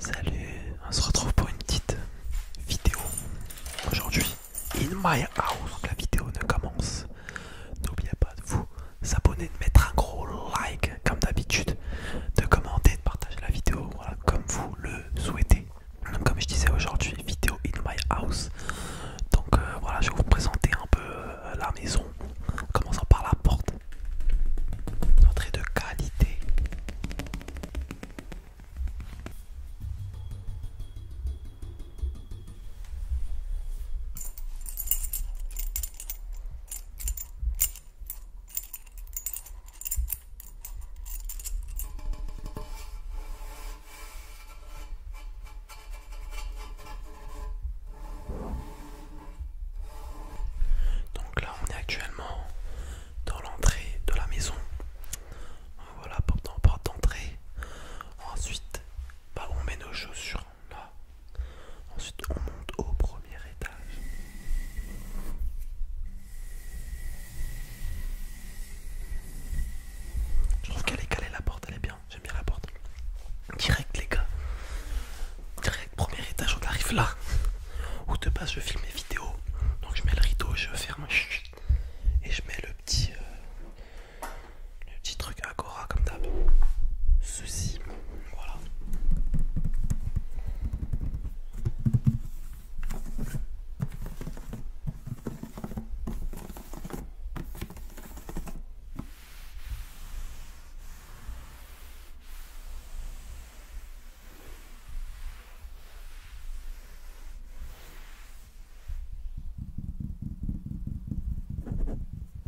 Salut, on se retrouve pour une petite vidéo aujourd'hui in my house. la vidéo ne commence. N'oubliez pas de vous s'abonner, de mettre un gros like comme d'habitude, de commenter, de partager la vidéo, voilà, comme vous le souhaitez. comme je disais aujourd'hui, vidéo in my house. Donc euh, voilà, je vais vous présenter un peu euh, la maison, commençant par la porte. Entrée de qualité. Donc là on est actuellement dans l'entrée de la maison. Voilà porte d'entrée. Ensuite bah, on met nos chaussures Ensuite, on monte au premier étage. Je trouve qu'elle est calée la porte, elle est bien. J'aime bien la porte. Direct, les gars. Direct, premier étage, on arrive là. Où de base, je filme mes vidéos. Donc, je mets le rideau, je ferme. Et je mets le petit. Euh, le petit truc Agora comme d'hab. Ceci, voilà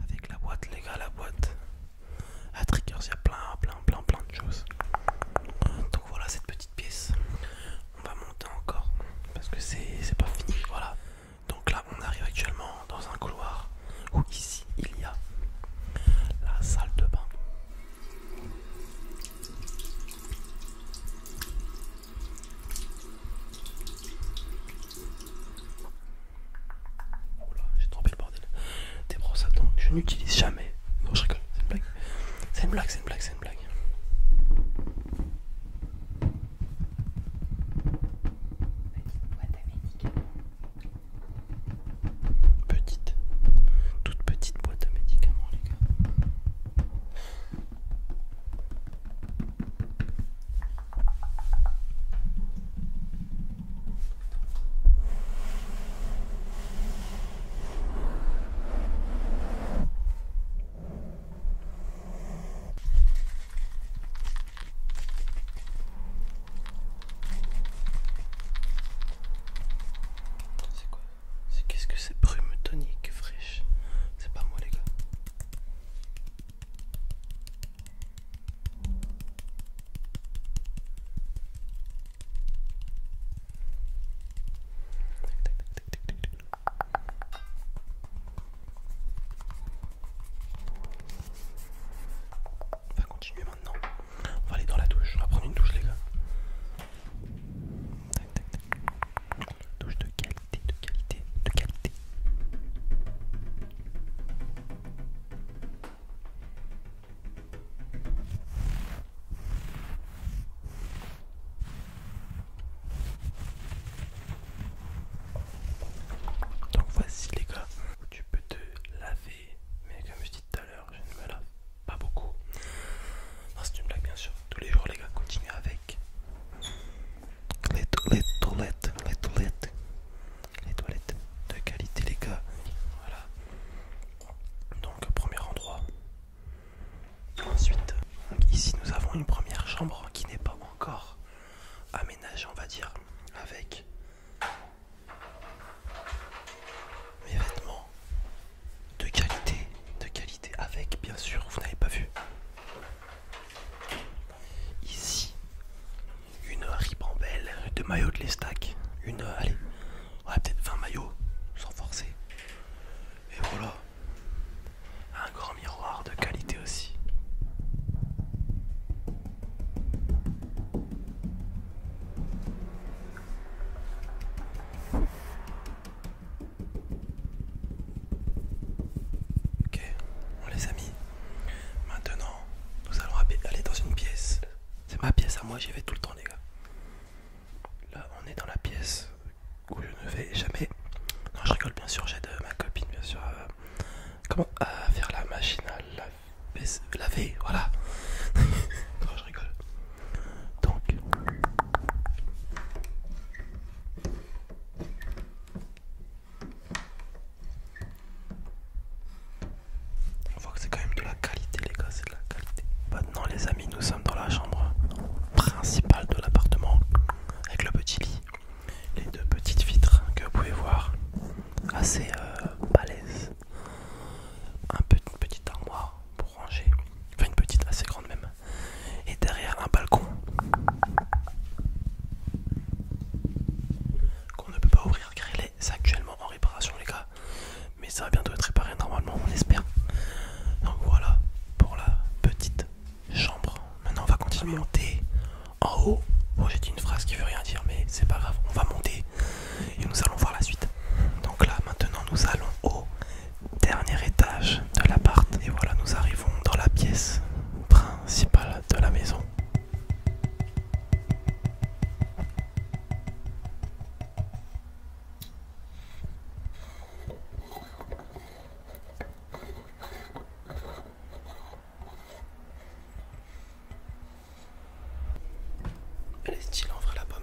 avec la boîte les gars la boîte à triggers il y a plein plein plein plein de choses donc voilà cette petite pièce on va monter encore parce que c'est pas fini voilà donc là on arrive actuellement dans un couloir où ici il y a la salle de bain Oh là, j'ai trompé le bordel. Des brosses à dents, je n'utilise jamais. Non, je rigole, c'est une blague. C'est une blague, c'est une blague, c'est une blague. Petite boîte à médicaments. Petite. Toute petite boîte à médicaments, les gars. C'est quoi C'est qu'est-ce que c'est Brume tonique fraîche. C'est pas moi les gars. On va continuer maintenant. On va aller dans la douche. On va prendre une douche, les gars. Douche de qualité, de qualité, de qualité. Donc voici les gars tu peux te laver, mais comme je dis tout à l'heure, je ne me lave pas beaucoup. Non, c'est une blague bien sûr. Tous les jours les gars, continuez avec les, toilettes, les toilettes, les toilettes de qualité les gars. Voilà. Donc premier endroit. Ensuite, ici nous avons une première chambre qui n'est pas encore aménagée, on va dire, avec mes vêtements de qualité, de qualité, avec bien sûr, vous n'avez pas vu Ici, une ribambelle de maillots de l'estac. Une, allez, ouais, peut-être 20 maillots, sans forcer. Et voilà, un grand miroir de qualité aussi. Ok, bon les amis, Maintenant, nous allons aller dans une pièce. C'est ma pièce à moi, j'y vais tout le temps les gars. Là, on est dans la pièce où je ne vais jamais. Non, je rigole bien sûr, j'aide ma copine bien sûr. Euh, comment à faire la machine à laver voilà. non, je rigole. Donc, on voit que c'est quand même de la qualité les gars, c'est de la qualité. Maintenant les amis, nous sommes dans la chambre principale de l'appartement avec le petit lit, les deux petites vitres que vous pouvez voir, assez euh, balèze. Un petit une petite armoire pour ranger, enfin une petite assez grande même, et derrière un balcon qu'on ne peut pas ouvrir car il est actuellement en réparation les gars mais ça va bientôt être réparé normalement on espère donc voilà pour la petite chambre maintenant on va continuer monter en haut bon, j'ai dit une phrase qui veut rien dire mais c'est pas grave on va monter et nous allons voir la suite donc là maintenant nous allons au Dernier étage de l'appart. Et voilà, nous arrivons dans la pièce principale de la maison. Elle est stylée en vrai la pomme.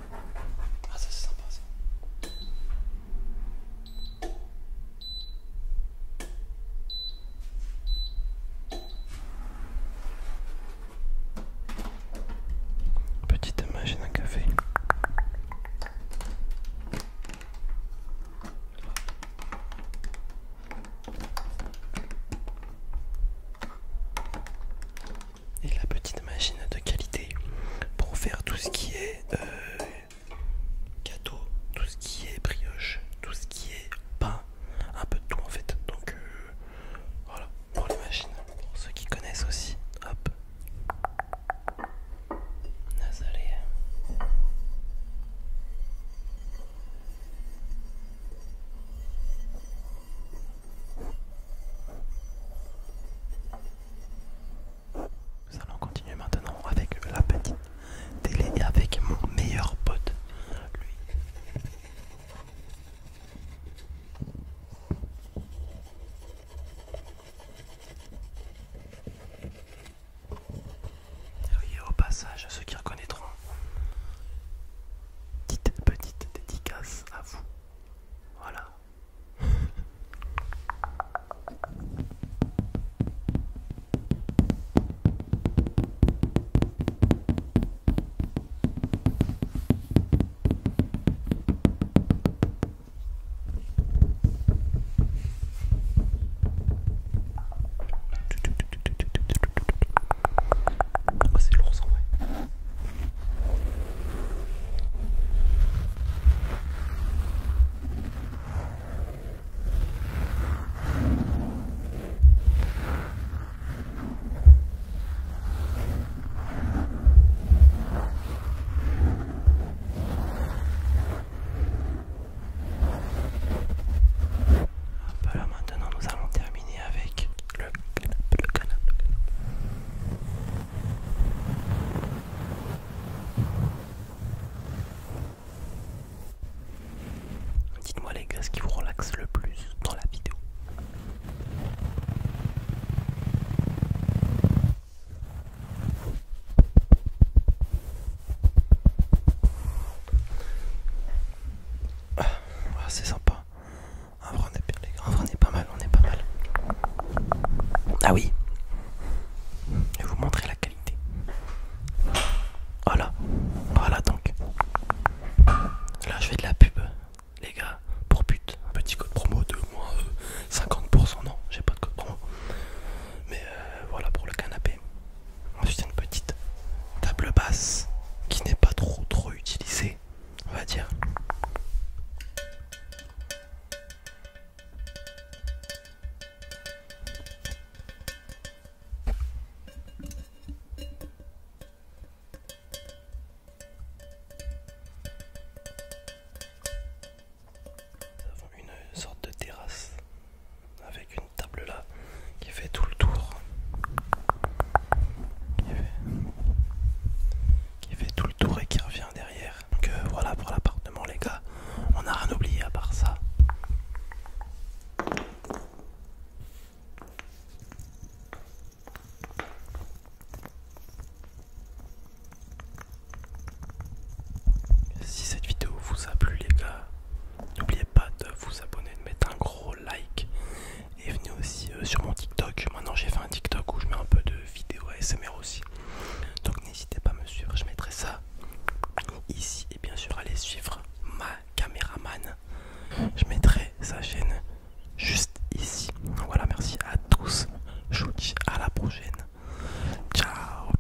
Ah, Petite machine d'un café et la petite machine de qualité pour faire tout ce qui est euh, gâteau, tout ce qui est brioche, tout ce qui est pain, un peu de tout en fait. Donc euh, voilà pour les machines. Pour ceux qui connaissent aussi, hop. Nous allons continuer maintenant avec la petite télé et avec mon meilleur pote, lui. Oui, au passage, ceux qui reconnaîtront, petite petite dédicace à vous. Voilà, Oh, c'est lourd ça ouais voilà, maintenant nous allons terminer avec le Dites-moi les gars ce qui vous relaxe le plus dans la vidéo. Ah, c'est sympa. En vrai, on est pas mal, on est pas mal. Ah oui. Je vais vous montrer la qualité. Voilà. Voilà donc. Là, je fais de la pub, les gars. Pour but. Un petit code promo de moins 50%. Euh, non, j'ai pas de code promo. Mais euh, voilà pour le canapé. Ensuite, une petite table basse qui n'est pas trop trop utilisée on va dire. une sorte de terrasse avec une table là il fait tout le tour qui fait, tout le tour et qui revient derrière donc euh, voilà pour l'appartement les gars on n'a rien oublié à part ça si cette vidéo vous a plu les gars n'oubliez pas de vous abonner de mettre un gros like et venez aussi euh, sur mon TikTok. Maintenant j'ai fait un TikTok où je mets un peu de vidéos ASMR aussi. Donc n'hésitez pas à me suivre, je mettrai ça ici et bien sûr allez suivre ma caméraman. Je mettrai sa chaîne juste ici. Voilà, merci à tous. Je vous dis à la prochaine. Ciao